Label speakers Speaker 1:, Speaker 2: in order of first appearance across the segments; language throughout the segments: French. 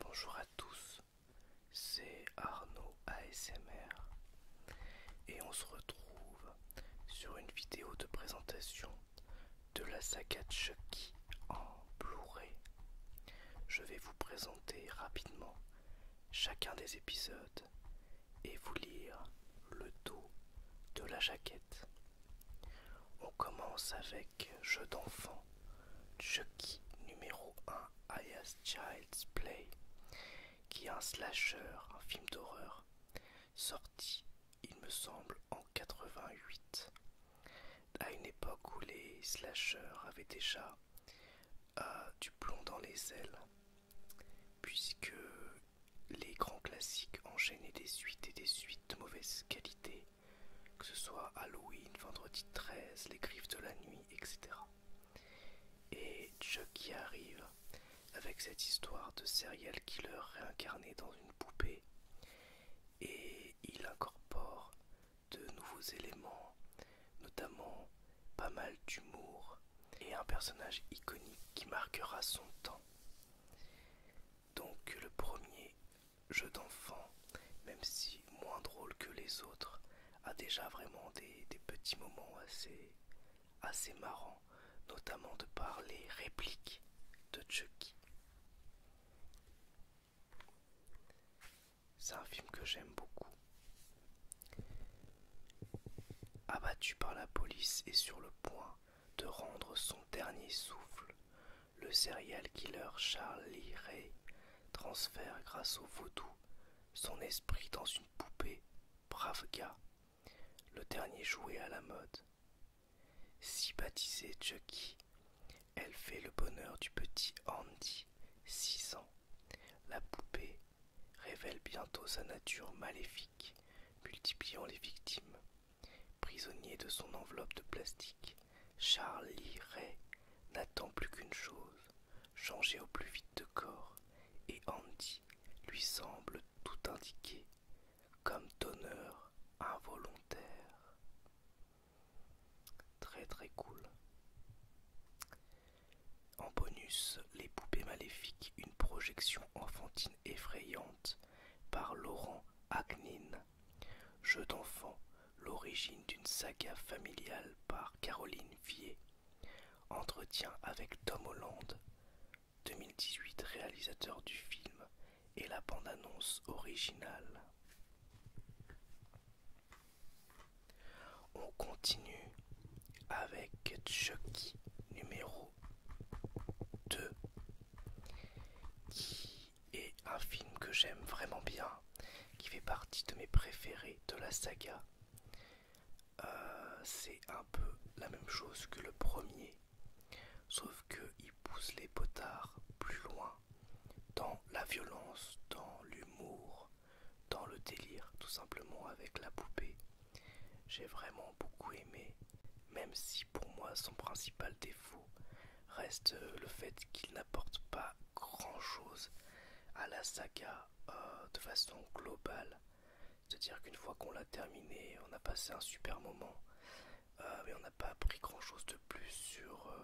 Speaker 1: Bonjour à tous, c'est Arnaud ASMR et on se retrouve sur une vidéo de présentation de la saga Chucky en Blu-ray. Je vais vous présenter rapidement chacun des épisodes et vous lire le dos de la jaquette. On commence avec Jeu d'enfant, Chucky numéro 1, As Child's Play, qui est un slasher, un film d'horreur, sorti, il me semble, en 88, à une époque où les slashers avaient déjà euh, du plomb dans les ailes, puisque les grands classiques enchaînaient des suites et des suites de mauvaise qualité, que ce soit Halloween, Vendredi 13, Les Griffes de la Nuit, etc. Et Chuck y arrive avec cette histoire de serial killer réincarné dans une poupée, et il incorpore de nouveaux éléments, notamment pas mal d'humour et un personnage iconique qui marquera son temps. Donc le premier jeu d'enfant, même si moins drôle que les autres, a déjà vraiment des, petits moments assez, assez marrants, notamment de par les répliques de Chucky. C'est un film que j'aime beaucoup. Abattu par la police et sur le point de rendre son dernier souffle, le serial killer Charlie Ray transfère grâce au vaudou son esprit dans une poupée brave gars, le dernier jouet à la mode. Si baptisée Chucky, elle fait le bonheur du petit Andy, 6 ans. La poupée révèle bientôt sa nature maléfique, multipliant les victimes. Prisonnier de son enveloppe de plastique, Charlie Ray n'attend plus qu'une chose, changer au plus vite de corps, et Andy lui semble tout indiqué, comme donneur involontaire. Très très cool. En bonus, Les poupées maléfiques, une projection enfantine effrayante par Laurent Agnin. Jeu d'enfant, l'origine d'une saga familiale par Caroline Vier. Entretien avec Tom Holland, 2018 réalisateur du film, et la bande-annonce originale. On continue avec Chucky numéro 2 qui est un film que j'aime vraiment bien, qui fait partie de mes préférés de la saga. Euh, c'est un peu la même chose que le premier, sauf qu'il pousse les potards plus loin dans la violence, dans l'humour, dans le délire tout simplement avec la poupée. J'ai vraiment beaucoup aimé, même si pour moi son principal défaut reste euh, le fait qu'il n'apporte pas grand-chose à la saga euh, de façon globale. C'est-à-dire qu'une fois qu'on l'a terminé, on a passé un super moment, euh, mais on n'a pas appris grand-chose de plus sur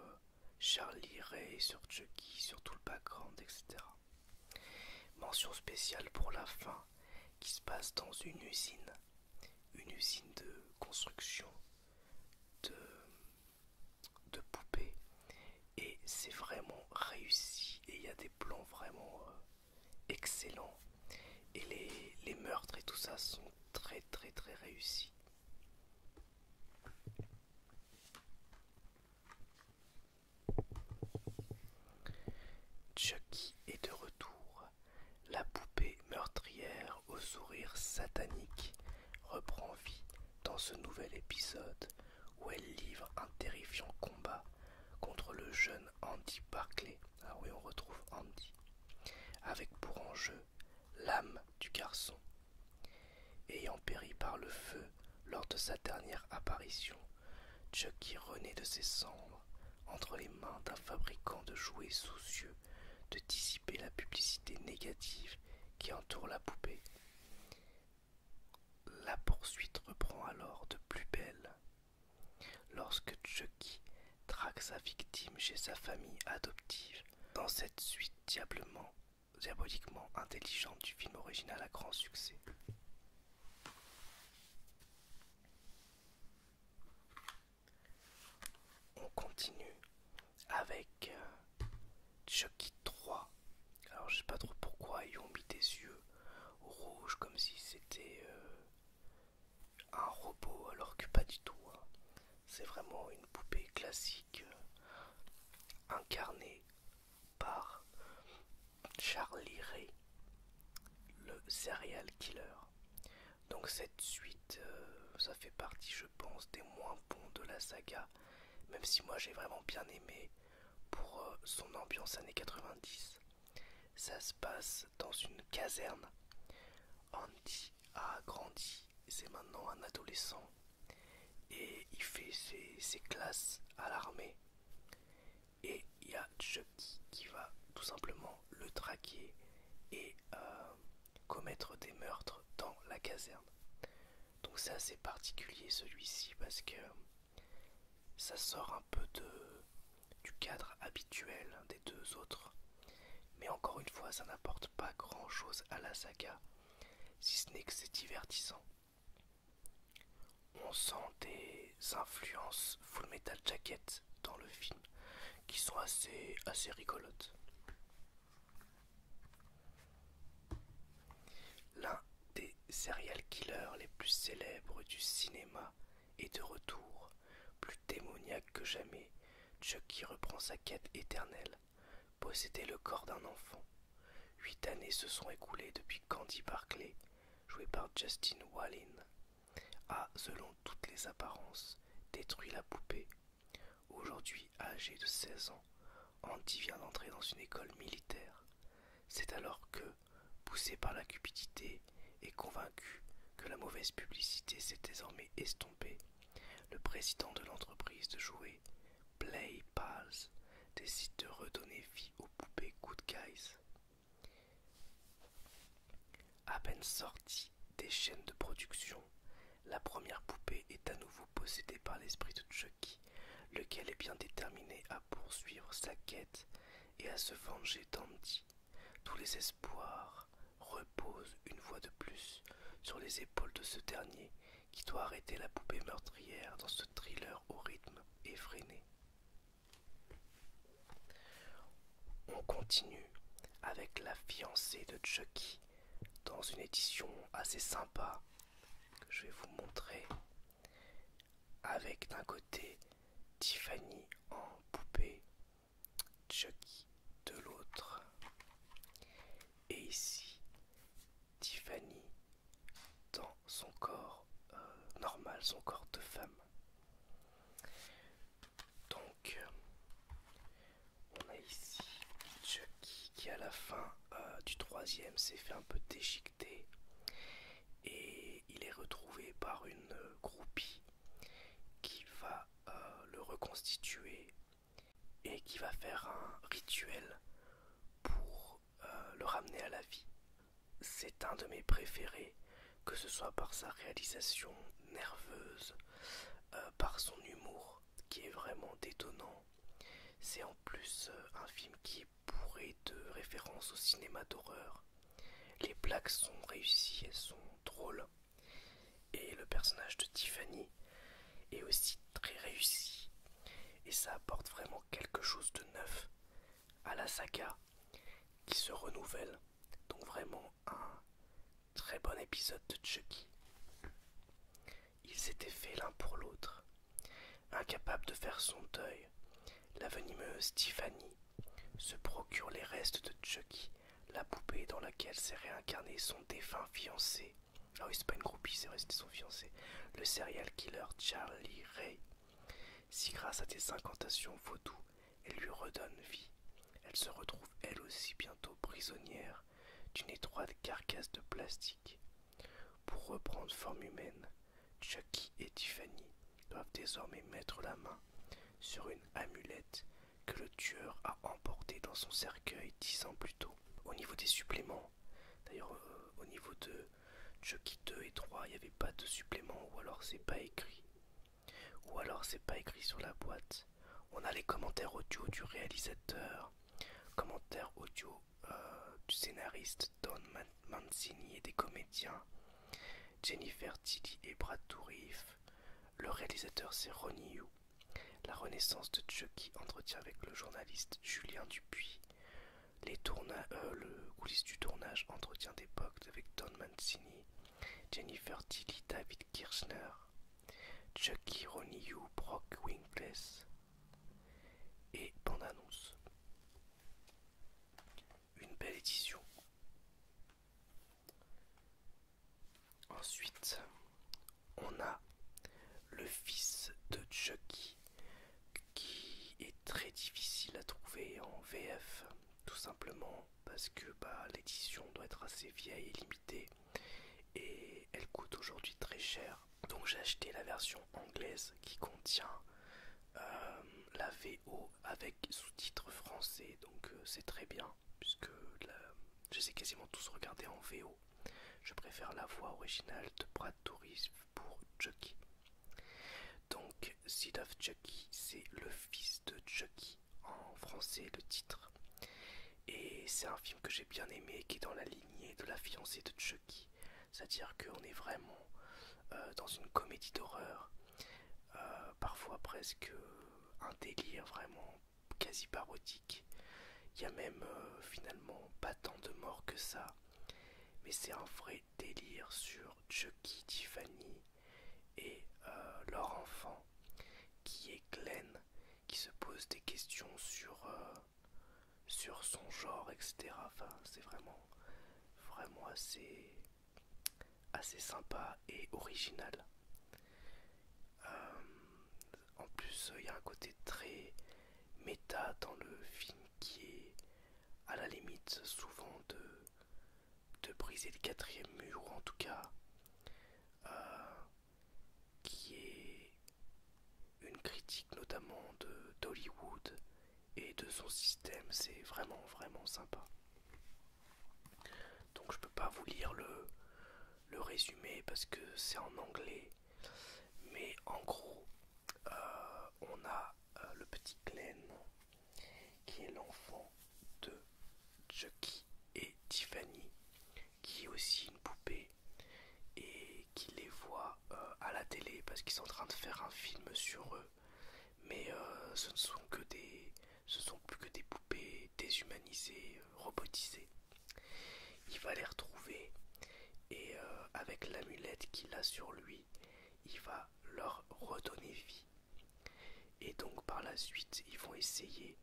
Speaker 1: Charlie Ray, sur Chucky, sur tout le background, etc. Mention spéciale pour la fin qui se passe dans une usine, une usine de construction de, poupées et c'est vraiment réussi et il y a des plans vraiment euh, excellents et les meurtres et tout ça sont très très très réussis. Chucky est de retour. La poupée meurtrière au sourire satanique reprend vie dans ce nouvel épisode où elle livre un terrifiant combat contre le jeune Andy Barclay. Ah oui, on retrouve Andy. Avec pour enjeu l'âme du garçon. Ayant péri par le feu lors de sa dernière apparition, Chucky renaît de ses cendres entre les mains d'un fabricant de jouets soucieux de dissiper la publicité négative qui entoure la poupée. La poursuite reprend alors de plus belle. Lorsque Chucky traque sa victime chez sa famille adoptive, dans cette suite diablement diaboliquement intelligente du film original à grand succès. On continue avec euh, Chucky 3. Alors je sais pas trop pourquoi ils ont mis des yeux rouges comme si c'était euh, un robot alors que pas du tout. Hein. C'est vraiment une poupée classique euh, incarnée par Charlie Ray, le Serial Killer. Donc cette suite, euh, ça fait partie, je pense, des moins bons de la saga, même si moi j'ai vraiment bien aimé pour euh, son ambiance années 90. Ça se passe dans une caserne. Andy a grandi, c'est maintenant un adolescent et il fait ses, classes à l'armée et il y a Chucky qui va tout simplement le traquer et euh, commettre des meurtres dans la caserne. Donc c'est assez particulier celui-ci parce que ça sort un peu de, du cadre habituel des deux autres. Mais encore une fois, ça n'apporte pas grand-chose à la saga, si ce n'est que c'est divertissant. On sent des influences Full Metal Jacket dans le film qui sont assez, assez rigolotes. L'un des serial killers les plus célèbres du cinéma est de retour, plus démoniaque que jamais. Chucky reprend sa quête éternelle, posséder le corps d'un enfant. Huit années se sont écoulées depuis qu'Andy Barclay, joué par Justin Wallin, a, selon toutes les apparences, détruit la poupée. Aujourd'hui âgé de 16 ans, Andy vient d'entrer dans une école militaire. C'est alors que, poussé par la cupidité et convaincu que la mauvaise publicité s'est désormais estompée, le président de l'entreprise de jouets Pals, décide de redonner vie aux poupées Good Guys. À peine sortie des chaînes de production, la première poupée est à nouveau possédée par l'esprit de Chucky, lequel est bien déterminé à poursuivre sa quête et à se venger d'Andy. Tous les espoirs reposent une fois de plus sur les épaules de ce dernier qui doit arrêter la poupée meurtrière dans ce thriller au rythme effréné. On continue avec la fiancée de Chucky dans une édition assez sympa que je vais vous montrer avec d'un côté Tiffany en poupée, Chucky de l'autre et ici Tiffany dans son corps euh, normal, son corps de femme. Donc, euh, on a ici Chucky qui, à la fin euh, du troisième, s'est fait un peu déchiqueté et il est retrouvé par une groupie qui va le reconstituer et qui va faire un rituel pour euh, le ramener à la vie. C'est un de mes préférés, que ce soit par sa réalisation nerveuse, euh, par son humour qui est vraiment détonnant. C'est en plus euh, un film qui est bourré de références au cinéma d'horreur. Les plaques sont réussies, elles sont drôles. Et le personnage de Tiffany est aussi très réussi et ça apporte vraiment quelque chose de neuf à la saga qui se renouvelle. Donc vraiment un très bon épisode de Chucky. Ils étaient faits l'un pour l'autre, incapables de faire son deuil. La venimeuse Tiffany se procure les restes de Chucky, la poupée dans laquelle s'est réincarné son défunt fiancé, alors, ah oui, c'est pas une groupie, c'est son fiancé. Le serial killer Charlie Ray. Si grâce à des incantations vaudou, elle lui redonne vie, elle se retrouve elle aussi bientôt prisonnière d'une étroite carcasse de plastique. Pour reprendre forme humaine, Chucky et Tiffany doivent désormais mettre la main sur une amulette que le tueur a emportée dans son cercueil dix ans plus tôt. Au niveau des suppléments, D'ailleurs, euh, au niveau de Chucky 2 et 3, il n'y avait pas de supplément, ou alors c'est pas écrit. Ou alors c'est pas écrit sur la boîte. On a les commentaires audio du réalisateur, commentaires audio euh, du scénariste Don Mancini et des comédiens Jennifer Tilly et Brad Dourif. Le réalisateur c'est Ronnie Yu. La renaissance de Chucky entretient avec le journaliste Julien Dupuis les euh, le coulisses du tournage, entretien d'époque avec Don Mancini, Jennifer Tilly, David Kirchner, Chucky e. Ronnie Brock Winkless et bande-annonce. Une belle édition. Ensuite, on a le fils de Chucky e qui est très difficile à trouver en VF, tout simplement parce que bah, l'édition doit être assez vieille et limitée, et elle coûte aujourd'hui très cher. Donc j'ai acheté la version anglaise qui contient euh, la VO avec sous-titres français, donc euh, c'est très bien, puisque je les ai quasiment tous regardés en VO. Je préfère la voix originale de Brad Tourism pour Chucky. Donc, Seed of Chucky, c'est le fils de Chucky, en français le titre. Et c'est un film que j'ai bien aimé, qui est dans la lignée de la fiancée de Chucky. C'est-à-dire qu'on est vraiment euh, dans une comédie d'horreur, euh, parfois presque euh, un délire vraiment quasi parodique. Il y a même finalement pas tant de morts que ça mais c'est un vrai délire sur Chucky, Tiffany et euh, leur enfant qui est Glenn, qui se pose des questions sur, euh, sur son genre, etc. Enfin, c'est vraiment, vraiment assez, assez sympa et original. Euh, en plus, il y a un côté très méta dans le film qui est à la limite souvent de, de briser le quatrième mur, ou en tout cas euh, qui est une critique notamment de d'Hollywood et de son système. C'est vraiment vraiment sympa. Donc je peux pas vous lire le, le résumé parce que c'est en anglais mais en gros, euh, on a euh, le petit Glenn qui est l'enfant de Chucky et Tiffany, qui est aussi une poupée et qui les voit euh, à la télé parce qu'ils sont en train de faire un film sur eux. Mais ce ne sont que des, ce sont plus que des poupées déshumanisées, robotisées. Il va les retrouver et euh, avec l'amulette qu'il a sur lui, il va leur redonner vie. Et donc par la suite, ils vont essayer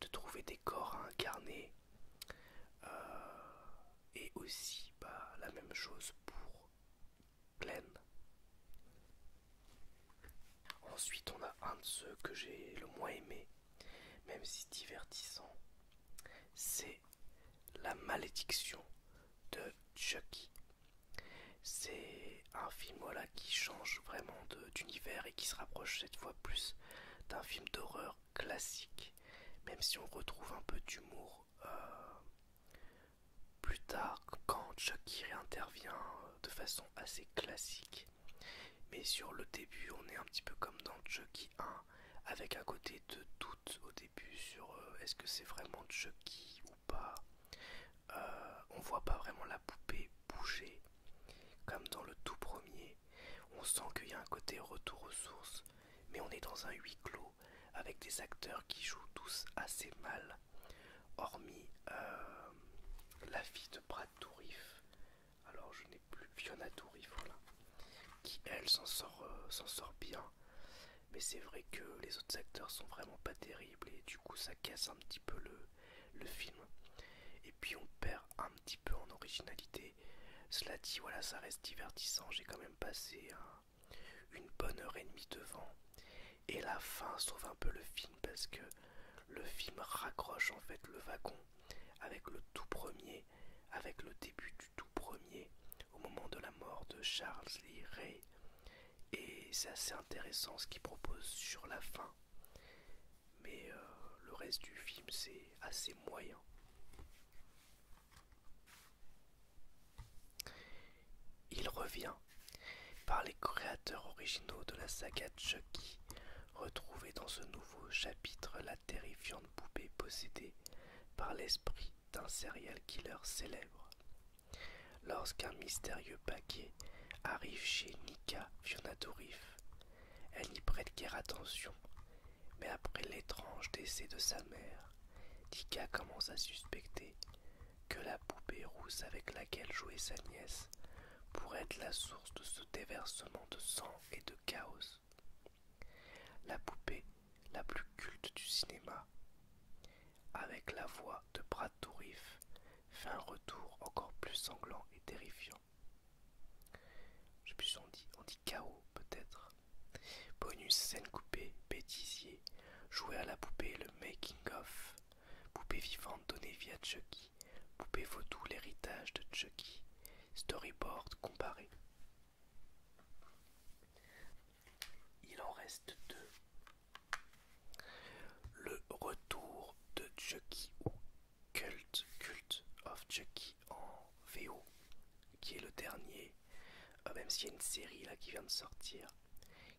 Speaker 1: de trouver des corps à incarner. Euh, et aussi bah, la même chose pour Glenn. Ensuite, on a un de ceux que j'ai le moins aimé, même si divertissant, c'est la malédiction de Chucky. C'est un film qui change vraiment d'univers et qui se rapproche cette fois plus d'un film d'horreur classique, même si on retrouve un peu d'humour euh, plus tard quand Chucky réintervient euh, de façon assez classique. Mais sur le début, on est un petit peu comme dans Chucky avec un côté de doute au début sur euh, est-ce que c'est vraiment Chucky ou pas. Euh, on voit pas vraiment la poupée bouger comme dans le tout premier. On sent qu'il y a un côté retour aux sources, mais on est dans un huis clos avec des acteurs qui jouent tous assez mal, hormis euh, la fille de Brad Dourif. Alors je n'ai plus Fiona Dourif, voilà qui elle euh, s'en sort, bien. Mais c'est vrai que les autres acteurs sont vraiment pas terribles et du coup ça casse un petit peu le, film. Et puis on perd un petit peu en originalité. Cela dit, voilà, ça reste divertissant. J'ai quand même passé une bonne heure et demie devant. Et la fin sauve un peu le film parce que le film raccroche en fait le wagon avec le tout premier, avec le début du tout premier, au moment de la mort de Charles Lee Ray. Et c'est assez intéressant ce qu'il propose sur la fin. Mais euh, le reste du film, c'est assez moyen. Il revient par les créateurs originaux de la saga Chucky, retrouvé dans ce nouveau chapitre la terrifiante poupée possédée par l'esprit d'un serial killer célèbre. Lorsqu'un mystérieux paquet arrive chez Nika Fionatorif, elle n'y prête guère attention, mais après l'étrange décès de sa mère, Nika commence à suspecter que la poupée rousse avec laquelle jouait sa nièce pourrait être la source de ce déversement de sang et de chaos. La poupée la plus culte du cinéma, avec la voix de Brad Dourif, fait un retour encore plus sanglant et terrifiant. Je dit, on dit chaos peut-être. Bonus scène coupée, bêtisier, jouer à la poupée le making of, poupée vivante donnée via Chucky, poupée vaudou l'héritage de Chucky, storyboard comparé. Il en reste deux. Le retour de Chucky ou Cult, Cult of Chucky en VO, qui est le dernier, euh, même s'il y a une série là qui vient de sortir,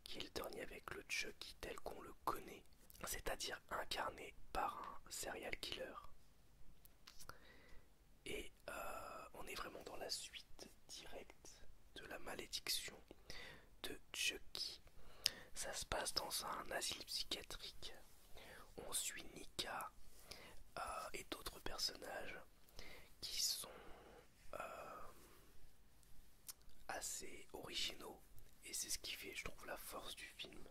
Speaker 1: qui est le dernier avec le Chucky tel qu'on le connaît, c'est-à-dire incarné par un serial killer. Et euh, on est vraiment dans la suite directe de la malédiction de Chucky. Ça se passe dans un asile psychiatrique. On suit Nika euh, et d'autres personnages qui sont euh, assez originaux. Et c'est ce qui fait, je trouve, la force du film.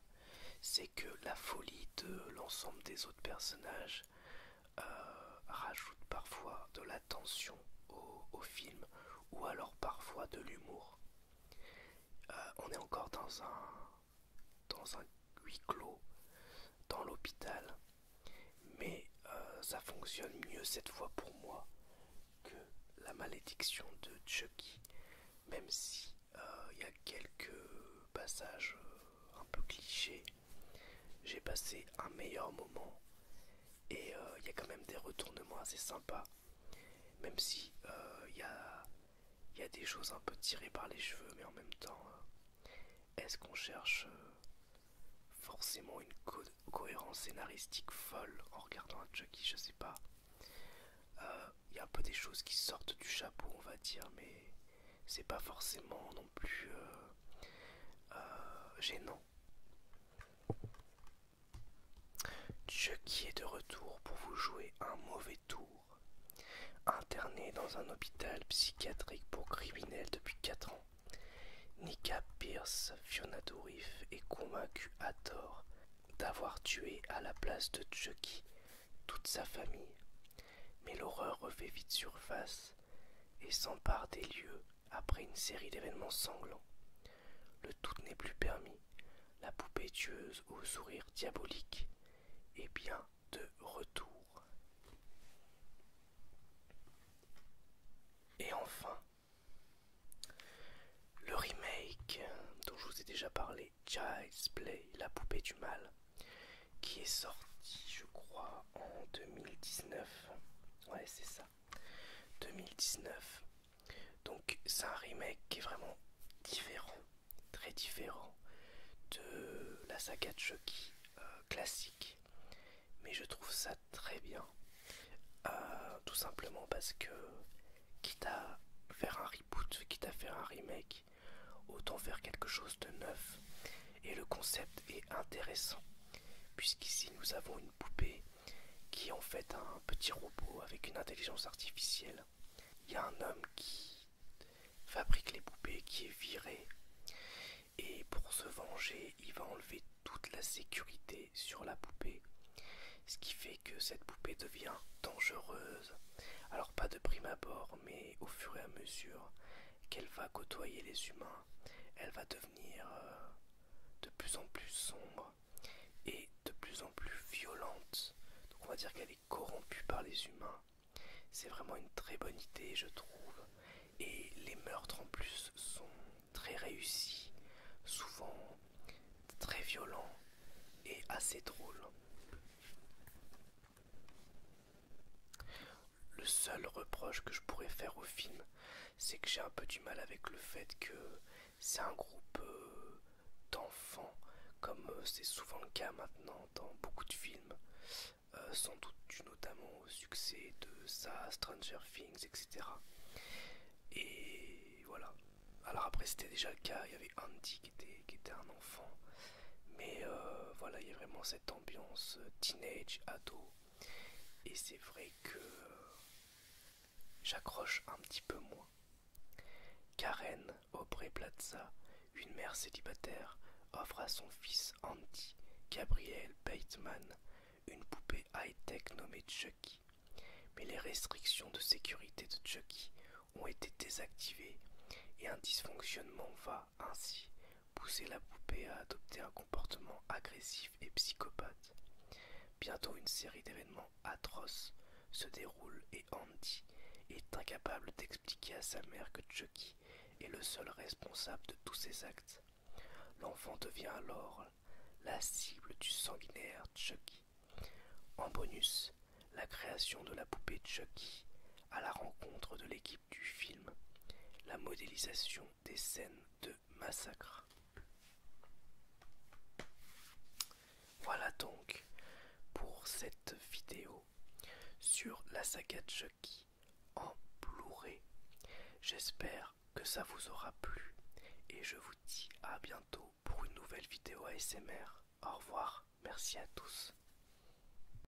Speaker 1: C'est que la folie de l'ensemble des autres personnages euh, rajoute parfois de l'attention au, film ou alors parfois de l'humour. Euh, on est encore dans un, huis clos, dans l'hôpital, mais euh, ça fonctionne mieux cette fois pour moi que la malédiction de Chucky, même si il y a quelques passages un peu clichés j'ai passé un meilleur moment et euh, il y a quand même des retournements assez sympas, même si euh, il y, a, des choses un peu tirées par les cheveux, mais en même temps, euh, est-ce qu'on cherche forcément une cohérence scénaristique folle en regardant un Chucky Je sais pas. Il y a un peu des choses qui sortent du chapeau, on va dire, mais c'est pas forcément plus euh, euh, gênant. Chucky est de retour pour vous jouer un mauvais tour. Interné dans un hôpital psychiatrique pour criminels depuis 4 ans, Nika Pierce, Fiona est convaincue à tort d'avoir tué à la place de Chucky toute sa famille. Mais l'horreur refait vite surface et s'empare des lieux après une série d'événements sanglants. Le tout n'est plus permis, la poupée tueuse au sourire diabolique est bien de retour. Et enfin, le remake dont je vous ai déjà parlé, Child's Play, la poupée du mal, qui est sorti je crois en 2019 ouais c'est ça 2019 donc c'est un remake qui est vraiment différent très différent de la saga de Chucky euh, classique mais je trouve ça très bien euh, tout simplement parce que quitte à faire un reboot quitte à faire un remake Autant faire quelque chose de neuf. Et le concept est intéressant, puisqu'ici nous avons une poupée qui est en fait un petit robot avec une intelligence artificielle. Il y a un homme qui fabrique les poupées, qui est viré. Et pour se venger, il va enlever toute la sécurité sur la poupée. Ce qui fait que cette poupée devient dangereuse. Alors pas de prime abord, mais au fur et à mesure, qu'elle va côtoyer les humains, elle va devenir euh, de plus en plus sombre et de plus en plus violente. Donc on va dire qu'elle est corrompue par les humains. C'est vraiment une très bonne idée, je trouve. Et les meurtres en plus sont très réussis, souvent très violents et assez drôles. Le seul reproche que je pourrais faire au film, c'est que j'ai un peu du mal avec le fait que c'est un groupe euh, d'enfants, comme euh, c'est souvent le cas maintenant dans beaucoup de films, euh, sans doute dû notamment au succès de ça, Stranger Things, etc. Et voilà. Alors après c'était déjà le cas, il y avait Andy qui était, qui était mais euh, voilà, il y a vraiment cette ambiance euh, teenage, ado. Et c'est vrai que euh, j'accroche un petit peu moins. Karen Aubrey Plaza, une mère célibataire, offre à son fils Andy Gabriel Bateman une poupée high-tech nommée Chucky. Mais les restrictions de sécurité de Chucky ont été désactivées et un dysfonctionnement va ainsi pousser la poupée à adopter un comportement agressif et psychopathe. Bientôt une série d'événements atroces se déroule et Andy est incapable d'expliquer à sa mère que Chucky est le seul responsable de tous ses actes. L'enfant devient alors la cible du sanguinaire Chucky. En bonus, la création de la poupée Chucky à la rencontre de l'équipe du film, la modélisation des scènes de massacre. Voilà donc pour cette vidéo sur la saga Chucky en Blu-ray. J'espère que ça vous aura plu et je vous dis à bientôt pour une nouvelle vidéo ASMR. Au revoir, merci à tous.